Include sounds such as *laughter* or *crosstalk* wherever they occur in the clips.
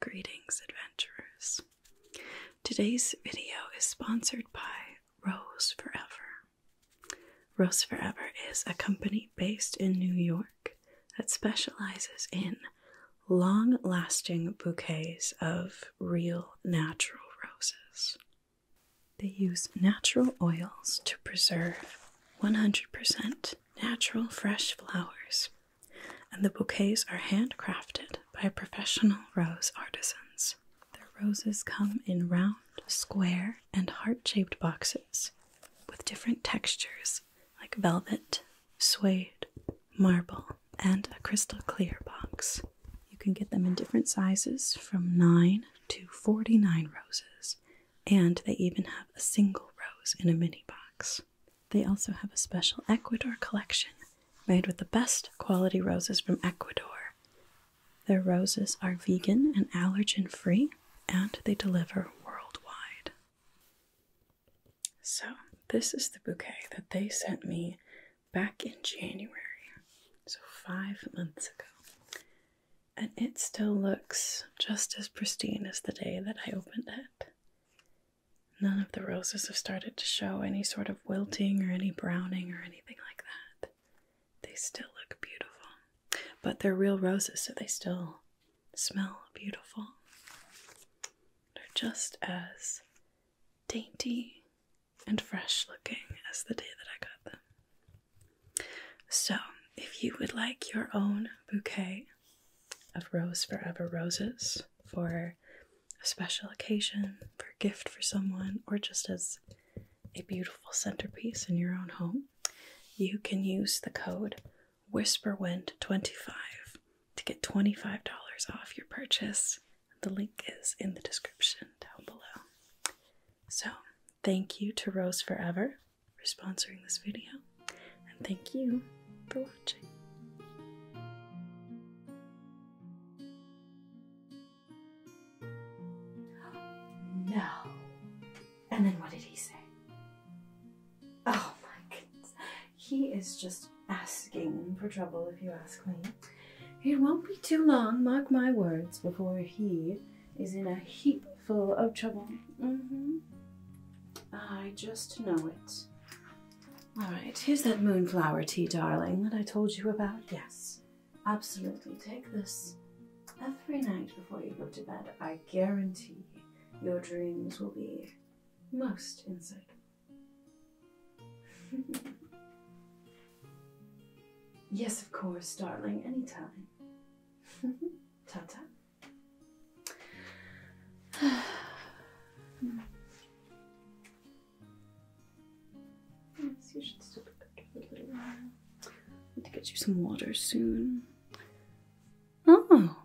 Greetings, adventurers. Today's video is sponsored by Rose Forever. Rose Forever is a company based in New York that specializes in long lasting bouquets of real natural roses. They use natural oils to preserve 100% natural fresh flowers and the bouquets are handcrafted by professional rose artisans. Their roses come in round, square, and heart shaped boxes with different textures like velvet, suede, marble, and a crystal clear box. You can get them in different sizes from 9 to 49 roses, and they even have a single rose in a mini box. They also have a special Ecuador collection made with the best quality roses from Ecuador. Their roses are vegan and allergen free, and they deliver worldwide. So, this is the bouquet that they sent me back in January, so five months ago. And it still looks just as pristine as the day that I opened it. None of the roses have started to show any sort of wilting or any browning or anything like that. They still look beautiful. But they're real roses, so they still smell beautiful. They're just as dainty and fresh looking as the day that I got them. So, if you would like your own bouquet of Rose Forever Roses for a special occasion, for a gift for someone, or just as a beautiful centerpiece in your own home, you can use the code WhisperWind25 to get $25 off your purchase. The link is in the description down below. So, thank you to Rose Forever for sponsoring this video, and thank you for watching. No. And then what did he say? Oh my goodness. He is just asking for trouble, if you ask me. It won't be too long, mark my words, before he is in a heap full of trouble. Mm-hmm. I just know it. All right, here's that moonflower tea, darling, that I told you about. Yes, absolutely. Take this every night before you go to bed. I guarantee your dreams will be most insightful. *laughs* yes, of course, darling, anytime. *laughs* Ta-ta yes, you should still be for a little while. I need to get you some water soon. Oh,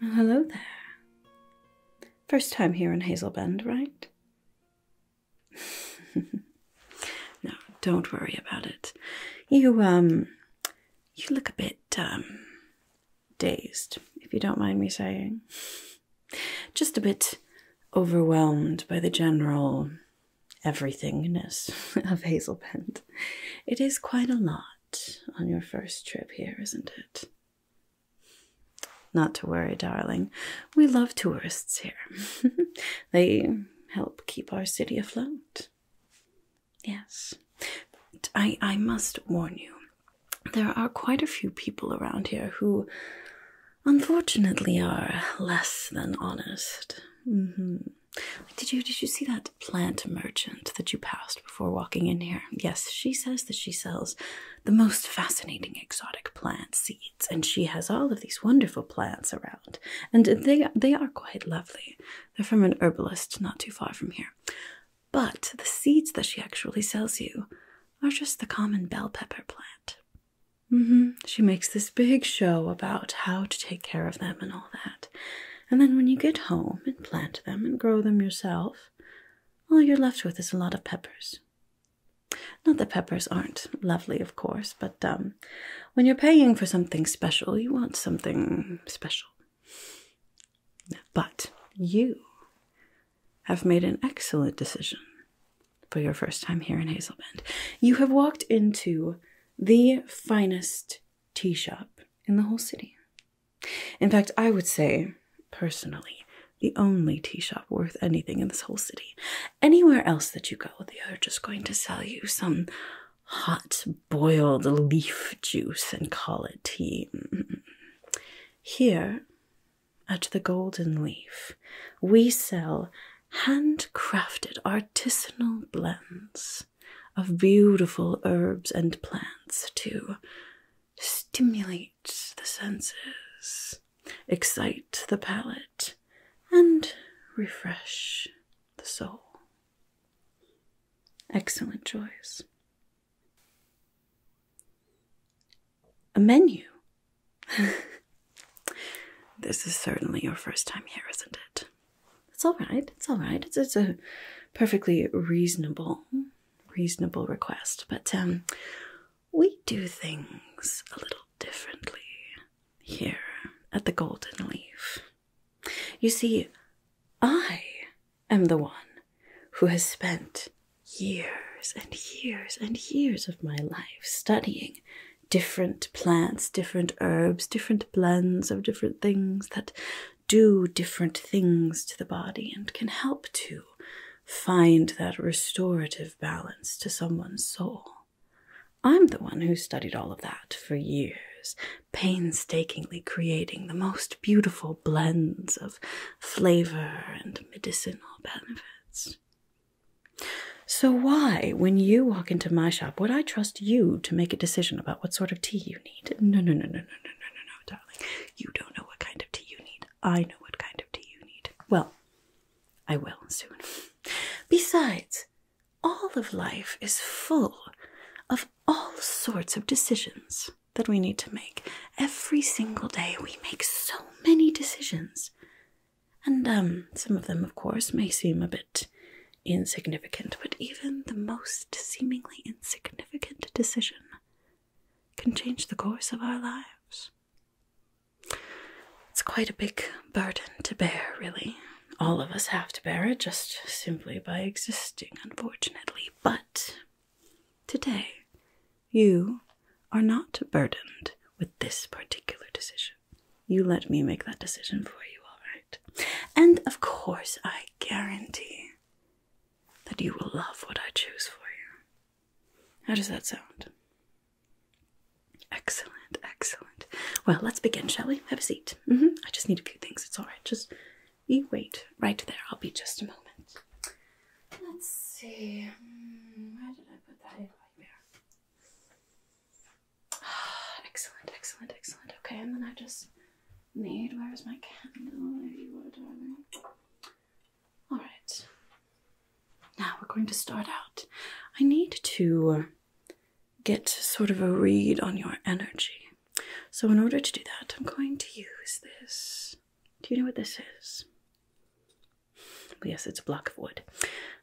hello there. First time here in Hazel Bend, right? *laughs* no, don't worry about it. You um, you look a bit um, dazed, if you don't mind me saying. Just a bit overwhelmed by the general everythingness *laughs* of Hazel Bend. It is quite a lot on your first trip here, isn't it? Not to worry, darling. We love tourists here. *laughs* they help keep our city afloat. Yes. But I I must warn you. There are quite a few people around here who unfortunately are less than honest. Mm hmm Did you did you see that plant merchant that you passed before walking in here? Yes, she says that she sells the most fascinating exotic plant seeds and she has all of these wonderful plants around. And they they are quite lovely. They're from an herbalist not too far from here. But the seeds that she actually sells you are just the common bell pepper plant. Mm-hmm. She makes this big show about how to take care of them and all that. And then when you get home and plant them and grow them yourself, all you're left with is a lot of peppers. Not that peppers aren't lovely, of course, but um, when you're paying for something special, you want something special. But you have made an excellent decision for your first time here in Hazel Bend. You have walked into the finest tea shop in the whole city. In fact, I would say, personally, the only tea shop worth anything in this whole city. Anywhere else that you go, they are just going to sell you some hot boiled leaf juice and call it tea. Here at the Golden Leaf, we sell handcrafted artisanal blends of beautiful herbs and plants to stimulate the senses, excite the palate, and refresh the soul. Excellent choice. A menu. *laughs* this is certainly your first time here, isn't it? It's all right. It's all right. It's, a perfectly reasonable, reasonable request. But um, we do things a little differently here at the Golden Leaf. You see, I am the one who has spent years and years and years of my life studying different plants, different herbs, different blends of different things that do different things to the body and can help to find that restorative balance to someone's soul. I'm the one who studied all of that for years, painstakingly creating the most beautiful blends of flavor and medicinal benefits. So, why, when you walk into my shop, would I trust you to make a decision about what sort of tea you need? No, no, no, no, no, no, no, no, darling. You don't know what kind of tea you need. I know what kind of tea you need. Well, I will soon. *laughs* Besides, all of life is full of all sorts of decisions that we need to make. Every single day, we make so many decisions. And um, some of them, of course, may seem a bit insignificant, but even the most seemingly insignificant decision can change the course of our lives. It's quite a big burden to bear, really. All of us have to bear it just simply by existing unfortunately, but today you are not burdened with this particular decision. You let me make that decision for you, all right? And of course, I guarantee that you will love what I choose for you. How does that sound? Excellent, excellent. Well, let's begin, shall we? Have a seat. Mm-hmm. I just need a few things. It's all right. Just you wait right there. I'll be just a moment. Let's see. Hmm, where did I put that in? Right there. *sighs* excellent, excellent, excellent. Okay, and then I just need. Where is my candle? All right. Now we're going to start out. I need to get sort of a read on your energy so in order to do that, I'm going to use this. Do you know what this is? yes, it's a block of wood,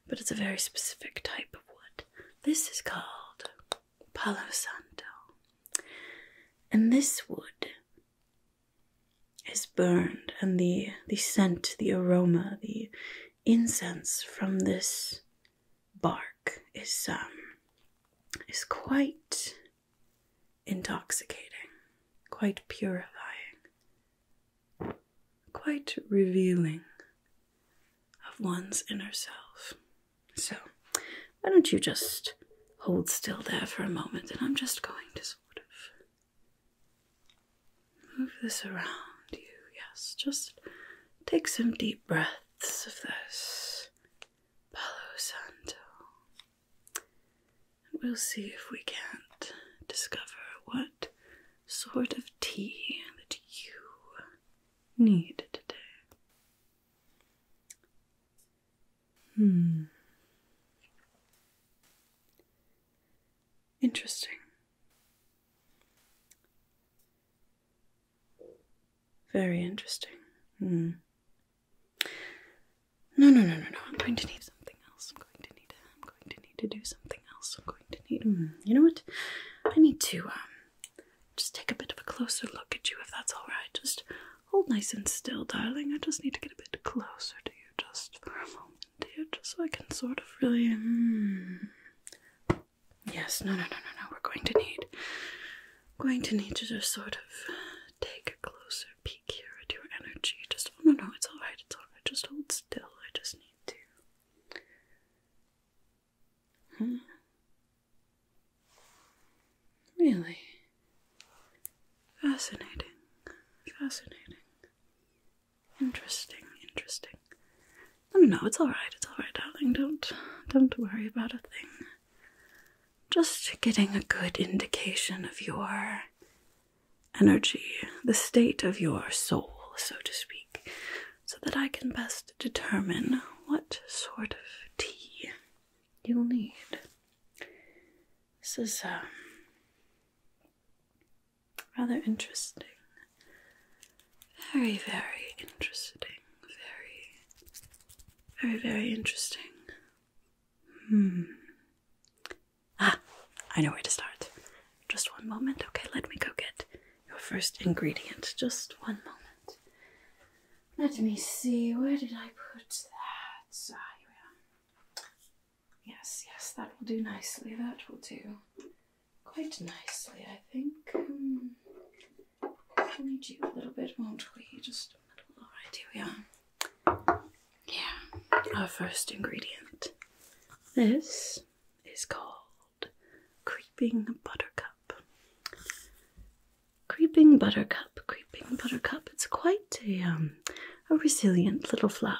but it's a very specific type of wood. This is called Palo Santo. And this wood is burned, and the, the scent, the aroma, the incense from this bark is um is quite intoxicating, quite purifying, quite revealing of one's inner self. So why don't you just hold still there for a moment and I'm just going to sort of move this around you. Yes, just take some deep breaths of this Palo Santo. And we'll see if we can't discover what sort of tea that you need today. Hmm. Interesting. Very interesting. Mm. No, no, no, no, no. I'm going to need something else. I'm going to need. I'm going to need to do something else. I'm going to need. Hmm. you know what? I need to um, just take a bit of a closer look at you, if that's all right. Just hold nice and still, darling. I just need to get a bit closer to you, just for a moment here, just so I can sort of really. Hmm. Yes. No, no, no, no, no. We're going to need going to need to just sort of take a closer peek here at your energy. Just, oh no, no, it's all right, it's all right. Just hold still. I just need to. Hmm. Really fascinating, fascinating, interesting, interesting. No, no, it's all right, it's all right, darling. Don't, don't worry about a thing. Just getting a good indication of your energy, the state of your soul, so to speak, so that I can best determine what sort of tea you'll need. This is um, rather interesting. Very, very interesting. Very very, very interesting. Hmm. Ah, I know where to start. Just one moment. Okay, let me go get your first ingredient. Just one moment. Let me see. Where did I put that? Ah, here we are. Yes, yes, that will do nicely. That will do quite nicely, I think. Hmm. We need you a little bit, won't we? Just all right, here we are. Yeah, our first ingredient. This is called creeping buttercup. Creeping buttercup, creeping buttercup. It's quite a um, a resilient little flower.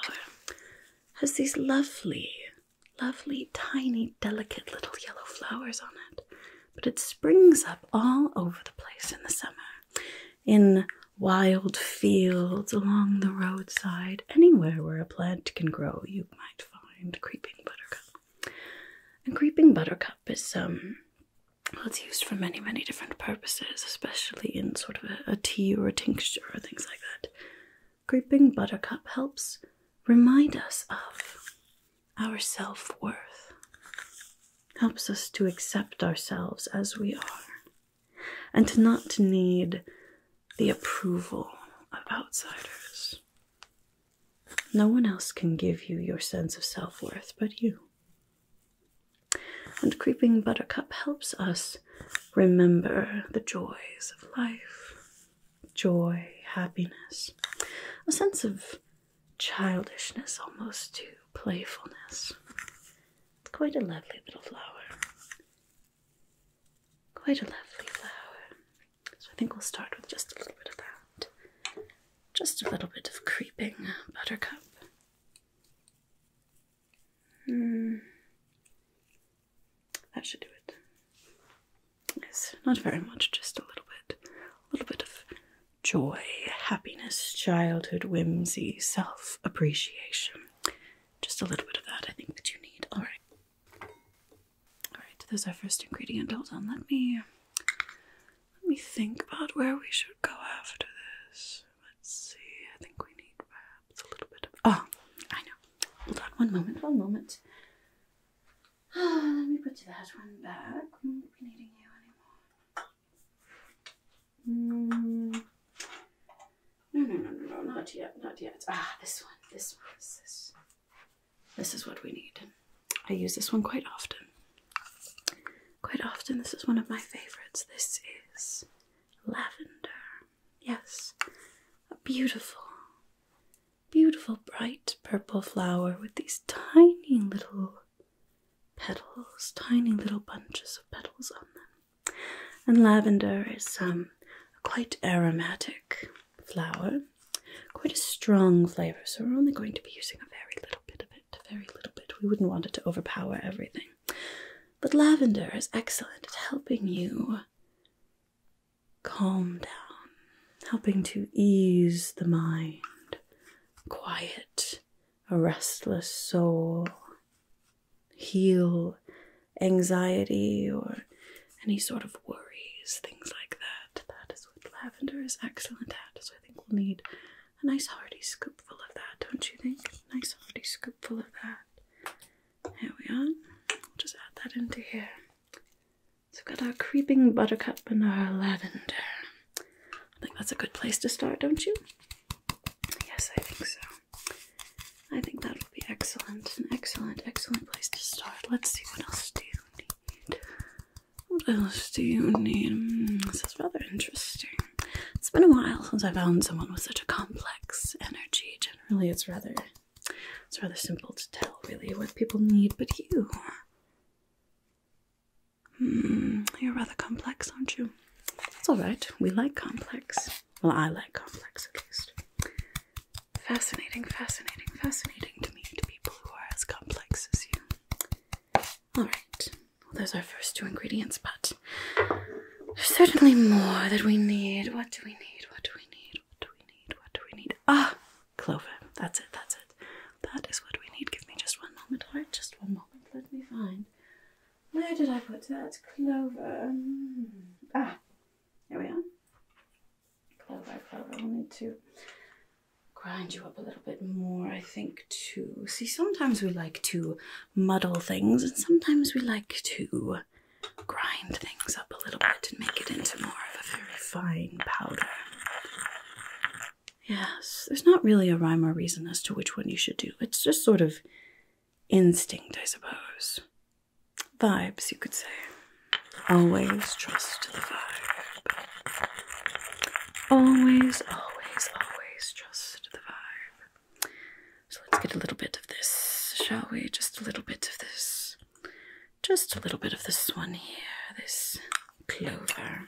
Has these lovely, lovely, tiny, delicate little yellow flowers on it but it springs up all over the place in the summer in wild fields, along the roadside, anywhere where a plant can grow, you might find creeping buttercup. And creeping buttercup is um well, it's used for many, many different purposes, especially in sort of a, tea or a tincture or things like that. Creeping buttercup helps remind us of our self worth, helps us to accept ourselves as we are, and to not need the approval of outsiders. No one else can give you your sense of self worth but you. And Creeping Buttercup helps us remember the joys of life joy, happiness, a sense of childishness almost to playfulness. quite a lovely little flower. Quite a lovely flower. So I think we'll start with just a little bit of that. Just a little bit of creeping buttercup. Hmm. That should do it. Yes, not very much, just a little bit. A little bit of joy, happiness, childhood, whimsy, self appreciation. Just a little bit of that, I think, that you need. All right. All right, there's our first ingredient. Hold on, let me. Let me think about where we should go after this. Let's see. I think we need perhaps a little bit of. Oh, I know. Hold on one moment, one moment. *sighs* Let me put that one back. I won't be needing you anymore. Hmm. No, no, no, no, no, not yet, not yet. Ah, this one, this one, this this is what we need. I use this one quite often. Quite often, this is one of my favorites. This is lavender. Yes, a beautiful, beautiful bright purple flower with these tiny little petals, tiny little bunches of petals on them. And lavender is um, a quite aromatic flower, quite a strong flavour, so we're only going to be using a very little bit of it, a very little bit. We wouldn't want it to overpower everything. But lavender is excellent at helping you calm down, helping to ease the mind, quiet a restless soul, heal anxiety or any sort of worries, things like that. That is what lavender is excellent at, so I think we'll need a nice hearty scoopful of that, don't you think? nice hearty scoopful of that. There we are. just add that into here. So we've got our creeping buttercup and our lavender. I think that's a good place to start, don't you? Yes, I think so. I think that will be excellent. An excellent, excellent place to start. Let's see, what else do you need? What else do you need? Hmm, this is rather interesting. It's been a while since I found someone with such a complex energy. Generally, it's rather, it's rather simple to tell, really, what people need, but you. Mm, you're rather complex, aren't you? That's alright, we like complex. Well, I like complex at least. Fascinating, fascinating, fascinating to me to people who are as complex as you. Alright, well, there's our first two ingredients, but there's certainly more that we need. What do we need? What do we need? What do we need? What do we need? Ah, clover. That's it, that's it. That is what we need. Give me just one moment, alright? Just one moment. Let me find. Where did I put that? Clover. Mm. Ah, here we are. Clover, clover. We'll need to grind you up a little bit more, I think, too. See, sometimes we like to muddle things, and sometimes we like to grind things up a little bit and make it into more of a very fine powder. Yes, there's not really a rhyme or reason as to which one you should do. It's just sort of instinct, I suppose. Vibes, you could say. Always trust the vibe. Always, always, always trust the vibe. So let's get a little bit of this, shall we? Just a little bit of this. Just a little bit of this one here, this clover.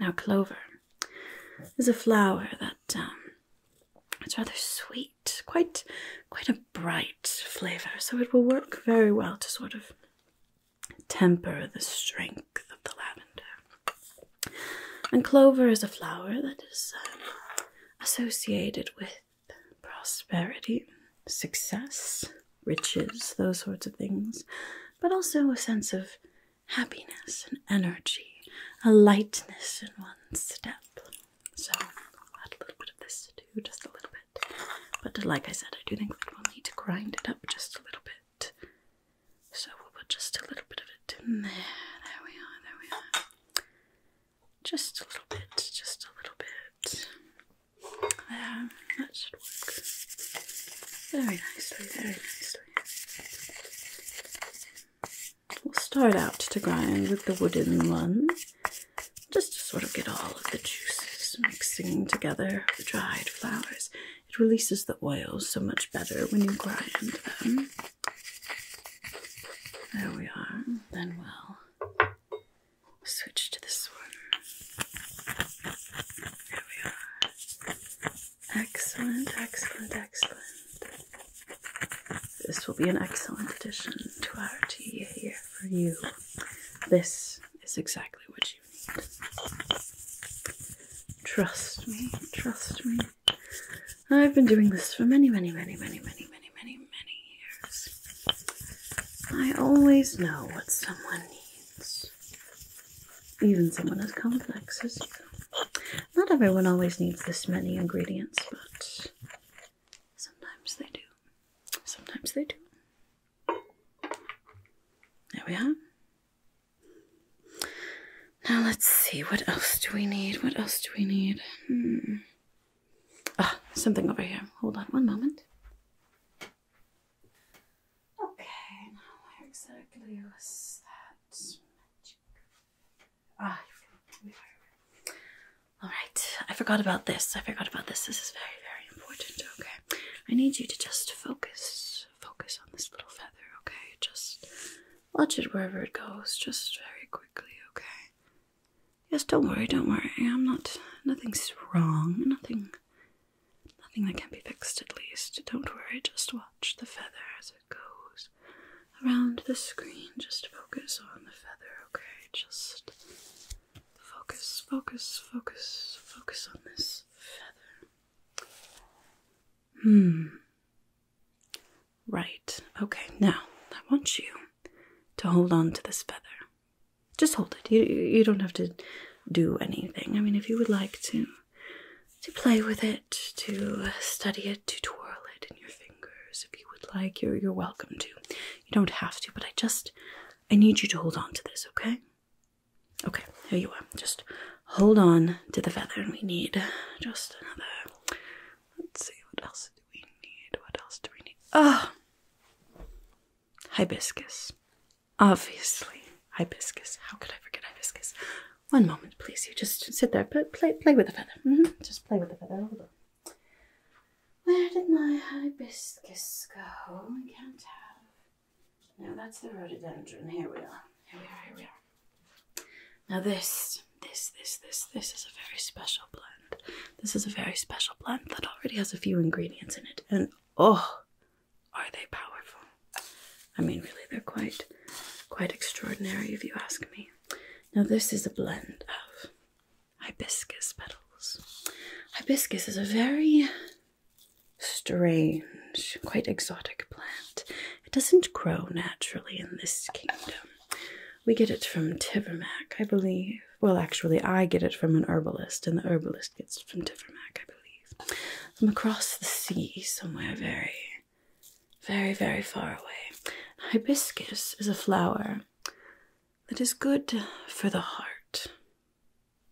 Now, clover is a flower that um, it's rather sweet, quite, quite a bright flavor. So it will work very well to sort of temper the strength of the lavender. And clover is a flower that is um, associated with prosperity, success, riches, those sorts of things, but also a sense of happiness and energy, a lightness in one's step. So I'll add a little bit of this too, just a little bit. But like I said, I do think that we'll need to grind it up just a little bit. So we'll put just a little bit of it in there. There we are, there we are. Just a little bit, just a little bit. Um, that should work very nicely, very nicely. We'll start out to grind with the wooden one, just to sort of get all of the juices mixing together the dried flowers. It releases the oils so much better when you grind them. There we are. Then we'll switch to this one. Excellent, excellent, excellent. This will be an excellent addition to our tea here for you. This is exactly what you need. Trust me, trust me. I've been doing this for many, many, many, many, many, many, many, many years. I always know what someone needs even someone as complex as Not everyone always needs this many ingredients, but sometimes they do. Sometimes they do. There we are. Now let's see, what else do we need? What else do we need? Hmm. Ah, something over here. Hold on one moment. Okay, now where exactly was that magic? Ah, all right. I forgot about this. I forgot about this. This is very, very important. Okay. I need you to just focus, focus on this little feather. Okay. Just watch it wherever it goes. Just very quickly. Okay. Yes. Don't worry. Don't worry. I'm not. Nothing's wrong. Nothing Nothing that can be fixed, at least. Don't worry, just watch the feather as it goes around the screen. Just focus on the feather, okay? Just focus, focus, focus, focus on this feather. Hmm. Right, okay, now I want you to hold on to this feather. Just hold it. You you don't have to do anything. I mean, if you would like to to play with it, to study it, to twirl it in your fingers, if you would like, you're you're welcome to. You don't have to, but I just I need you to hold on to this, okay? Okay, here you are. Just hold on to the feather, and we need just another. Let's see, what else do we need? What else do we need? Ah, hibiscus. Obviously, hibiscus. How could I forget hibiscus? One moment, please. You just sit there. Play, play with the feather. Mm-hmm. Just play with the feather. Hold on. Where did my hibiscus go? I can't have. Now that's the rhododendron. Here we are. Here we are. Here we are. Now this, this, this, this, this is a very special blend. This is a very special blend that already has a few ingredients in it, and oh, are they powerful? I mean, really, they're quite, quite extraordinary if you ask me. Now, this is a blend of hibiscus petals. Hibiscus is a very strange, quite exotic plant. It doesn't grow naturally in this kingdom. We get it from Tivermac, I believe. Well, actually, I get it from an herbalist, and the herbalist gets it from Tivermac, I believe days. I'm across the sea somewhere very, very, very far away. Hibiscus is a flower that is good for the heart,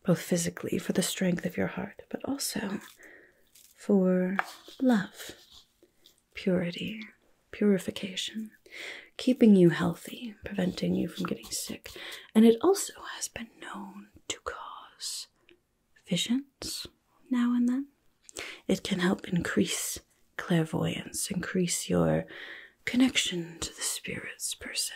both physically for the strength of your heart, but also for love, purity, purification, keeping you healthy, preventing you from getting sick. And it also has been known to cause visions now and then. It can help increase clairvoyance, increase your connection to the spirits per se.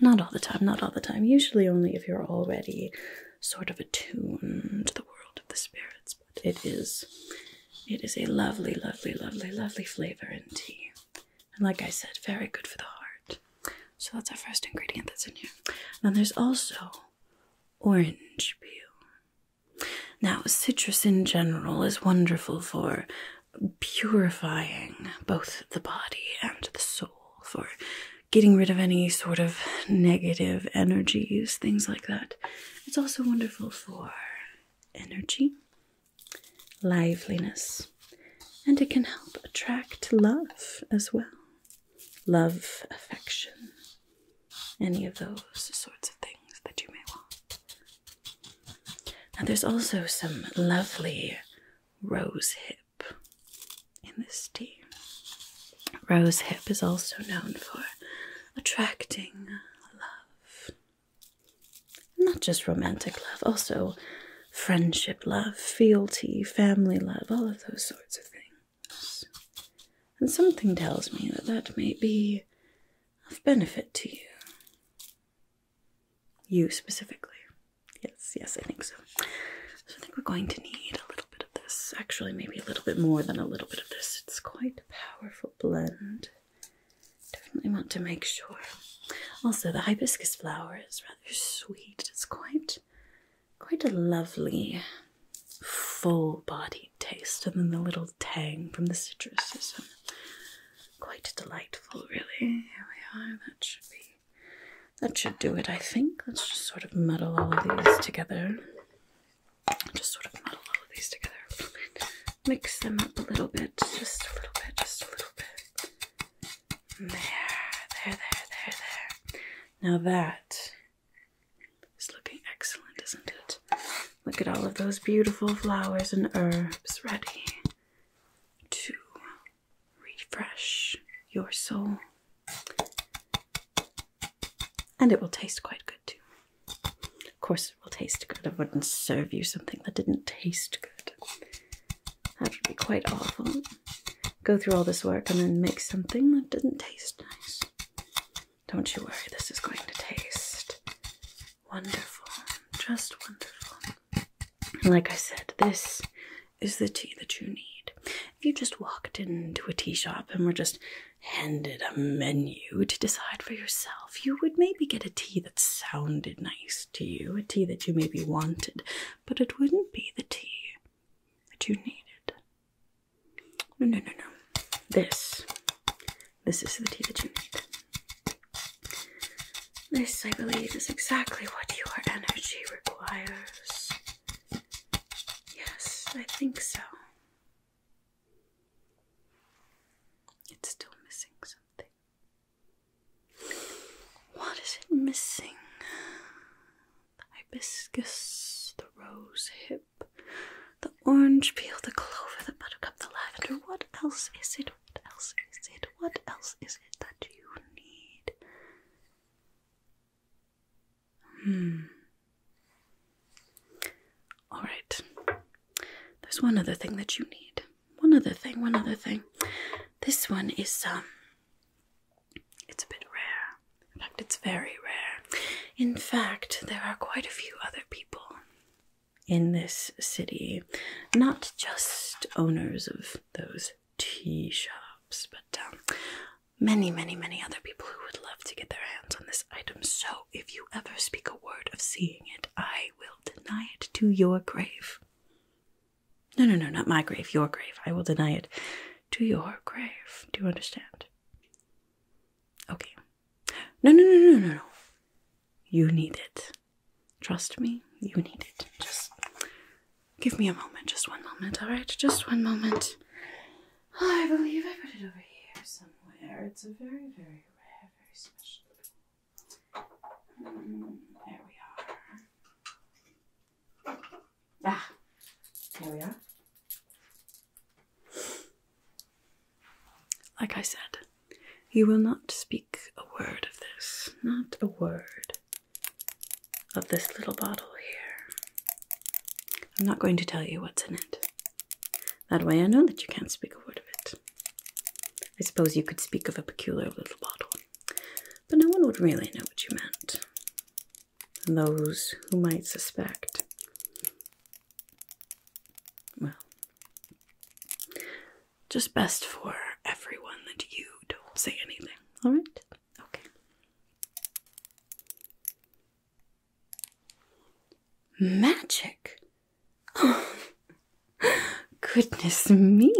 Not all the time, not all the time. Usually only if you're already sort of attuned to the world of the spirits, but it is it is a lovely, lovely, lovely, lovely flavor in tea. And like I said, very good for the heart. So that's our first ingredient that's in here. And then there's also orange peel. Now, citrus in general is wonderful for purifying both the body and the soul, for getting rid of any sort of negative energies, things like that. It's also wonderful for energy, liveliness, and it can help attract love as well love, affection, any of those sorts of things that you may want. Now, there's also some lovely rose hip in this tea. Rose hip is also known for attracting love. Not just romantic love, also friendship love, fealty, family love, all of those sorts of things. And something tells me that that may be of benefit to you. You specifically. Yes, yes, I think so. So I think we're going to need a little bit of this. Actually, maybe a little bit more than a little bit of this. It's quite a powerful blend. Definitely want to make sure. Also, the hibiscus flower is rather sweet. It's quite quite a lovely full bodied taste and then the little tang from the citrus is um, quite delightful really. Here we are, that should be that should do it I think. Let's just sort of muddle all of these together. Just sort of muddle all of these together. Mix them up a little bit, just a little bit, just a little bit. There, there, there, there, there. Now that is looking excellent, isn't it? Look at all of those beautiful flowers and herbs ready to refresh your soul. And it will taste quite good too. Of course, it will taste good. I wouldn't serve you something that didn't taste good. That would be quite awful. Go through all this work and then make something that doesn't taste nice. Don't you worry, this is going to taste wonderful. Just wonderful. like I said, this is the tea that you need. If you just walked into a tea shop and were just handed a menu to decide for yourself, you would maybe get a tea that sounded nice to you, a tea that you maybe wanted, but it wouldn't be the tea that you needed. No, no, no, no. This. This is the tea that you need. This, I believe, is exactly what your energy requires. Yes, I think so. It's still missing something. What is it missing? The hibiscus, the rose hip, the orange peel, the clover, the buttercup, the lavender. What else is it? What else is it? What else is it that you need? Hmm. Alright. There's one other thing that you need. One other thing, one other thing. This one is um it's a bit rare. In fact, it's very rare. In fact, there are quite a few other people in this city, not just owners of those tea shops, but um, many, many, many other people who would love to get their hands on this item. So, if you ever speak a word of seeing it, I will deny it to your grave. No, no, no, not my grave, your grave. I will deny it. To your grave. Do you understand? Okay. No, no, no, no, no, no. You need it. Trust me, you need it. Just give me a moment, just one moment, all right? Just one moment. I believe I put it over here somewhere. It's a very, very rare, very special. Hmm, there we are. Ah, here we are. Like I said, you will not speak a word of this, not a word of this little bottle here. I'm not going to tell you what's in it. That way I know that you can't speak a word of it. I suppose you could speak of a peculiar little bottle but no one would really know what you meant. And those who might suspect, well, just best for everyone that you don't say anything, all right? Okay. Magic? *laughs* Goodness me,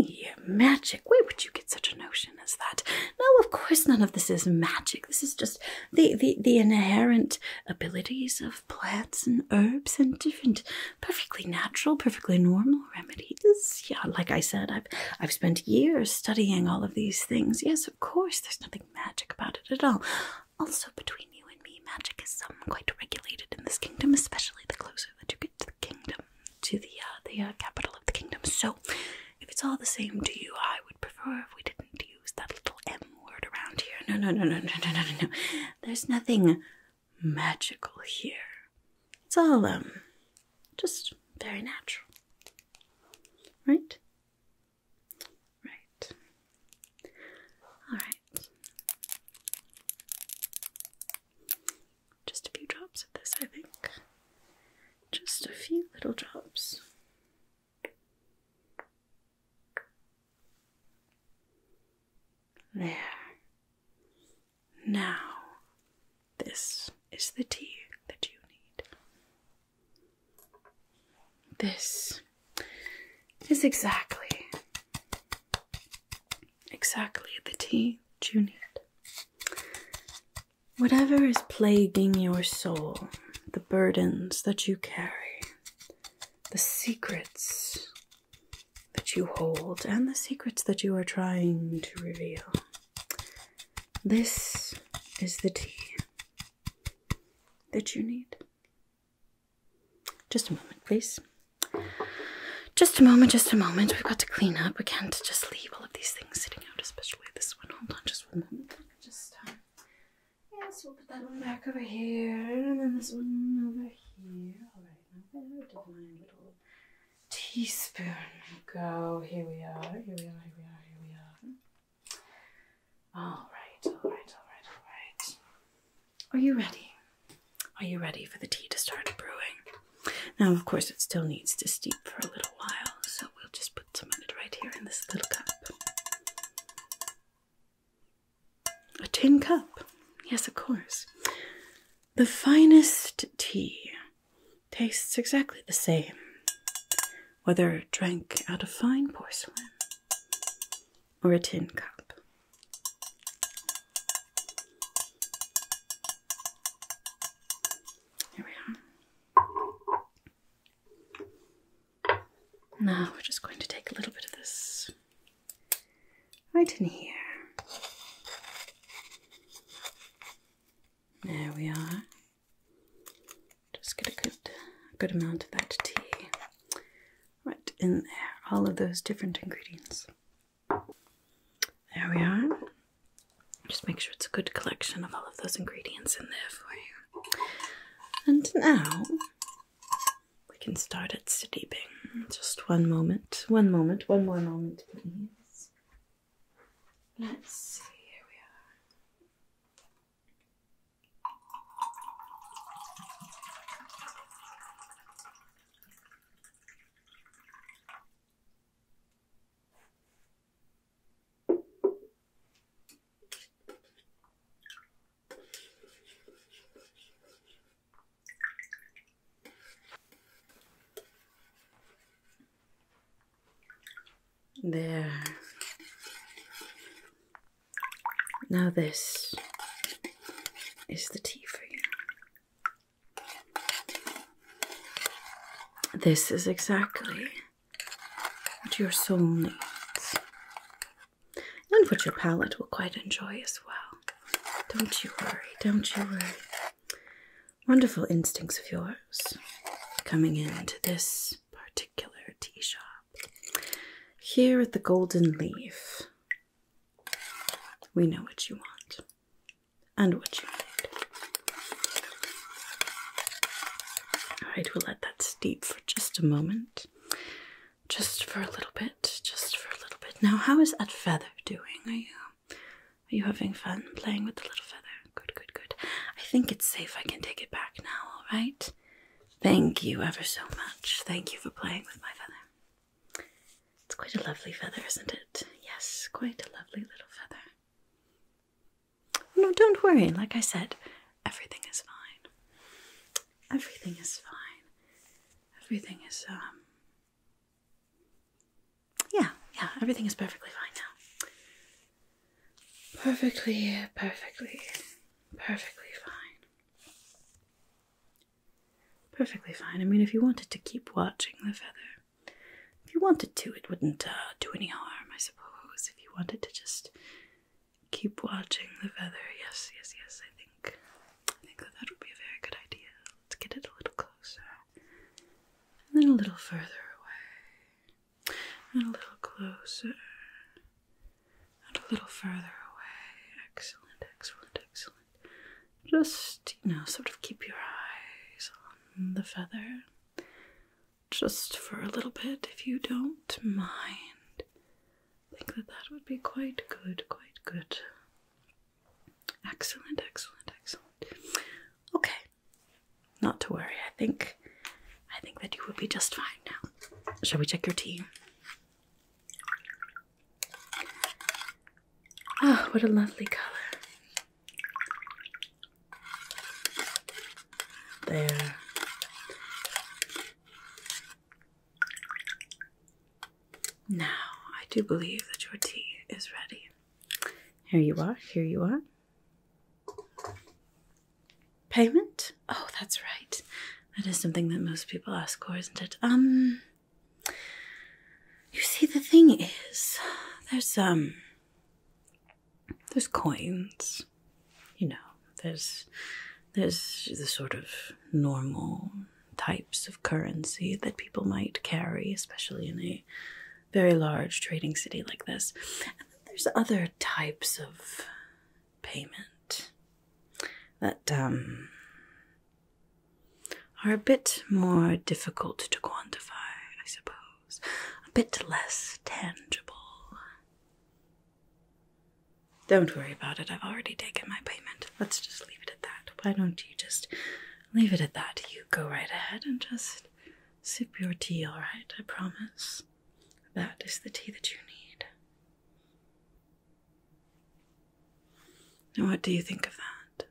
magic. Where would you get such a notion as that? No, of course none of this is magic. This is just the, the, the inherent abilities of plants and herbs and different perfectly natural, perfectly normal remedies. Yeah, like I said, I've I've spent years studying all of these things. Yes, of course, there's nothing magic about it at all. Also between you and me, magic is um, quite regulated in this kingdom, especially the closer that you get to the kingdom to the uh, the uh, capital of the kingdom. So, if it's all the same to you, I would prefer if we didn't use that little M word around here. No, no, no, no, no, no, no, no. There's nothing magical here. It's all um, just very natural, right? Right. All right. Just a few drops of this, I think. Just a few little drops. There. Now, this is the tea that you need. This is exactly, exactly the tea that you need. Whatever is plaguing your soul, the burdens that you carry, the secrets that you hold, and the secrets that you are trying to reveal, this is the tea that you need. Just a moment, please. Just a moment, just a moment. We've got to clean up. We can't just leave all of these things sitting out, especially this one. Hold on just one moment. Just, uh, yes, we'll put that one back over here, and then this one over here. All right, now where did my little teaspoon go? Here we are, here we are, here we are, here we are. All right, all right, all right, all right. Are you ready? Are you ready for the tea to start brewing? Now, of course, it still needs to steep for a little while, so we'll just put some of it right here in this little cup. A tin cup, yes, of course. The finest tea tastes exactly the same, whether drank out of fine porcelain or a tin cup. There we are. Now we're just going to take a little bit of this right in here. There we are. Just get a good, a good amount of that tea right in there. All of those different ingredients. There we are. Just make sure it's a good collection of all of those ingredients in there for you. And now we can start it steeping. Just one moment, one moment, one more moment, please. Let's see, here we are. There. Now, this is the tea for you. This is exactly what your soul needs, and what your palate will quite enjoy as well. Don't you worry, don't you worry. Wonderful instincts of yours coming into this particular tea shop. Here at the Golden Leaf, we know what you want and what you need. Alright, we'll let that steep for just a moment. Just for a little bit. Just for a little bit. Now, how is that feather doing? Are you are you having fun playing with the little feather? Good, good, good. I think it's safe. I can take it back now, alright? Thank you ever so much. Thank you for playing with my feather. It's quite a lovely feather, isn't it? Yes, quite a lovely little feather. No, don't worry. Like I said, everything is fine. Everything is fine. Everything is, um. Yeah, yeah, everything is perfectly fine now. Perfectly, perfectly, perfectly fine. Perfectly fine. I mean, if you wanted to keep watching the feather, if you wanted to, it wouldn't uh, do any harm, I suppose. If you wanted to just keep watching the feather, yes, yes, yes. I think I think that that would be a very good idea. Let's get it a little closer, and then a little further away, and a little closer, and a little further away. Excellent, excellent, excellent. Just, you know, sort of keep your eyes on the feather just for a little bit if you don't mind. I think that that would be quite good, quite good. Excellent, excellent, excellent. Okay. Not to worry. I think I think that you will be just fine now. Shall we check your tea? Oh, what a lovely color. There. Now, I do believe that your tea is ready. Here you are, here you are. Payment? Oh, that's right. That is something that most people ask for, isn't it? Um, you see, the thing is, there's, um, there's coins. You know, there's, there's the sort of normal types of currency that people might carry, especially in a very large trading city like this. And then there's other types of payment that, um, are a bit more difficult to quantify, I suppose, a bit less tangible. Don't worry about it, I've already taken my payment. Let's just leave it at that. Why don't you just leave it at that? You go right ahead and just sip your tea, alright? I promise. That is the tea that you need. Now, what do you think of that?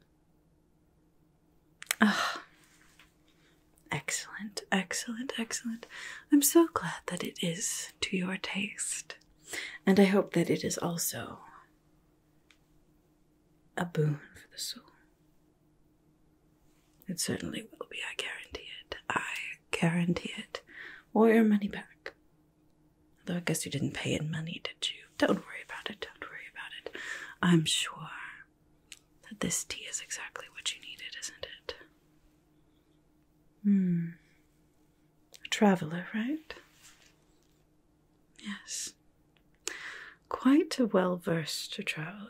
Ah, excellent, excellent, excellent. I'm so glad that it is to your taste, and I hope that it is also a boon for the soul. It certainly will be, I guarantee it. I guarantee it. Or your money back. Although I guess you didn't pay in money, did you? Don't worry about it, don't worry about it. I'm sure that this tea is exactly what you needed, isn't it? Hmm. A traveler, right? Yes. Quite a well versed traveler.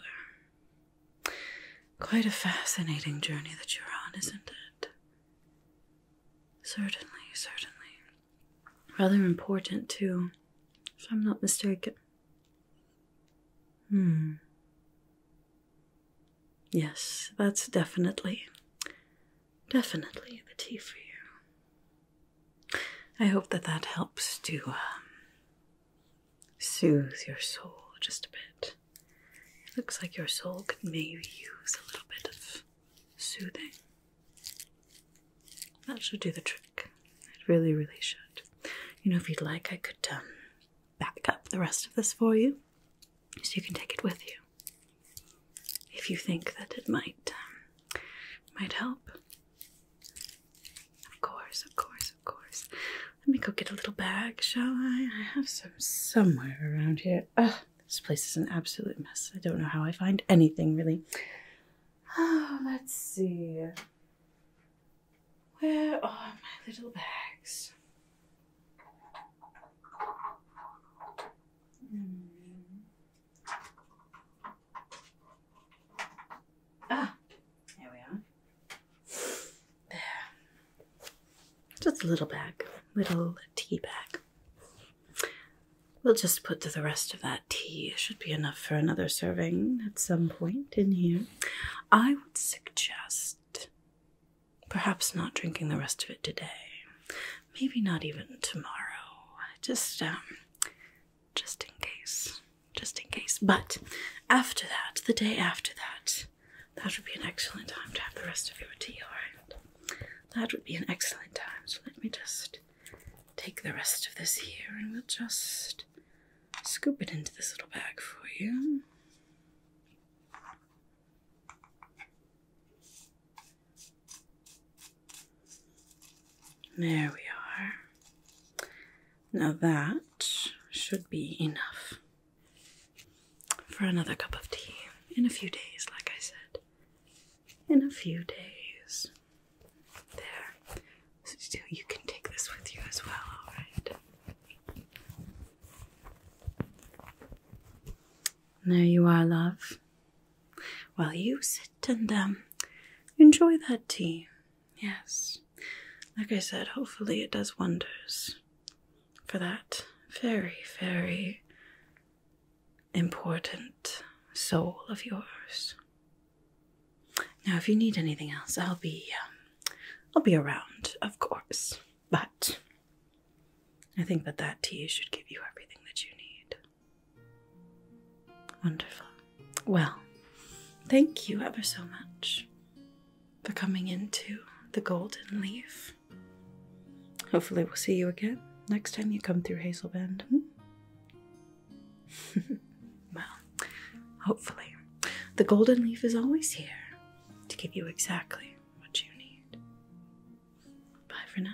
Quite a fascinating journey that you're on, isn't it? Certainly, certainly. Rather important, too, if I'm not mistaken. Hmm. Yes, that's definitely, definitely the tea for you. I hope that that helps to um, soothe your soul just a bit. It looks like your soul could maybe use a little bit of soothing. That should do the trick. It really, really should. You know, if you'd like, I could um, back up the rest of this for you so you can take it with you. If you think that it might um, might help. Of course, of course, of course. Let me go get a little bag, shall I? I have some somewhere around here. Ugh, this place is an absolute mess. I don't know how I find anything really. *sighs* let's see. Where are my little bags? Mm. Ah, here we are. There. Just a little bag, little tea bag. We'll just put to the rest that tea should be enough for another serving at some point in here. I would suggest perhaps not drinking the rest of it today. Maybe not even tomorrow. Just um, just in case. Just in case. But after that, the day after that, that would be an excellent time to have the rest of your tea, alright? That would be an excellent time. So let me just take the rest of this here and we'll just scoop it into this little bag for you. There we are. Now that should be enough for another cup of tea in a few days, like I said. In a few days. There. So you can take this with you as well, alright? There you are, love. Well, you sit and um, enjoy that tea. Yes. Like I said, hopefully it does wonders for that very, very important soul of yours. Now, if you need anything else, I'll be um, I'll be around, of course. But I think that that tea should give you everything that you need. Wonderful. Well, thank you ever so much for coming into the Golden Leaf. Hopefully, we'll see you again next time you come through Hazel Bend. Hmm? *laughs* well, hopefully, the golden leaf is always here to give you exactly what you need. Bye for now.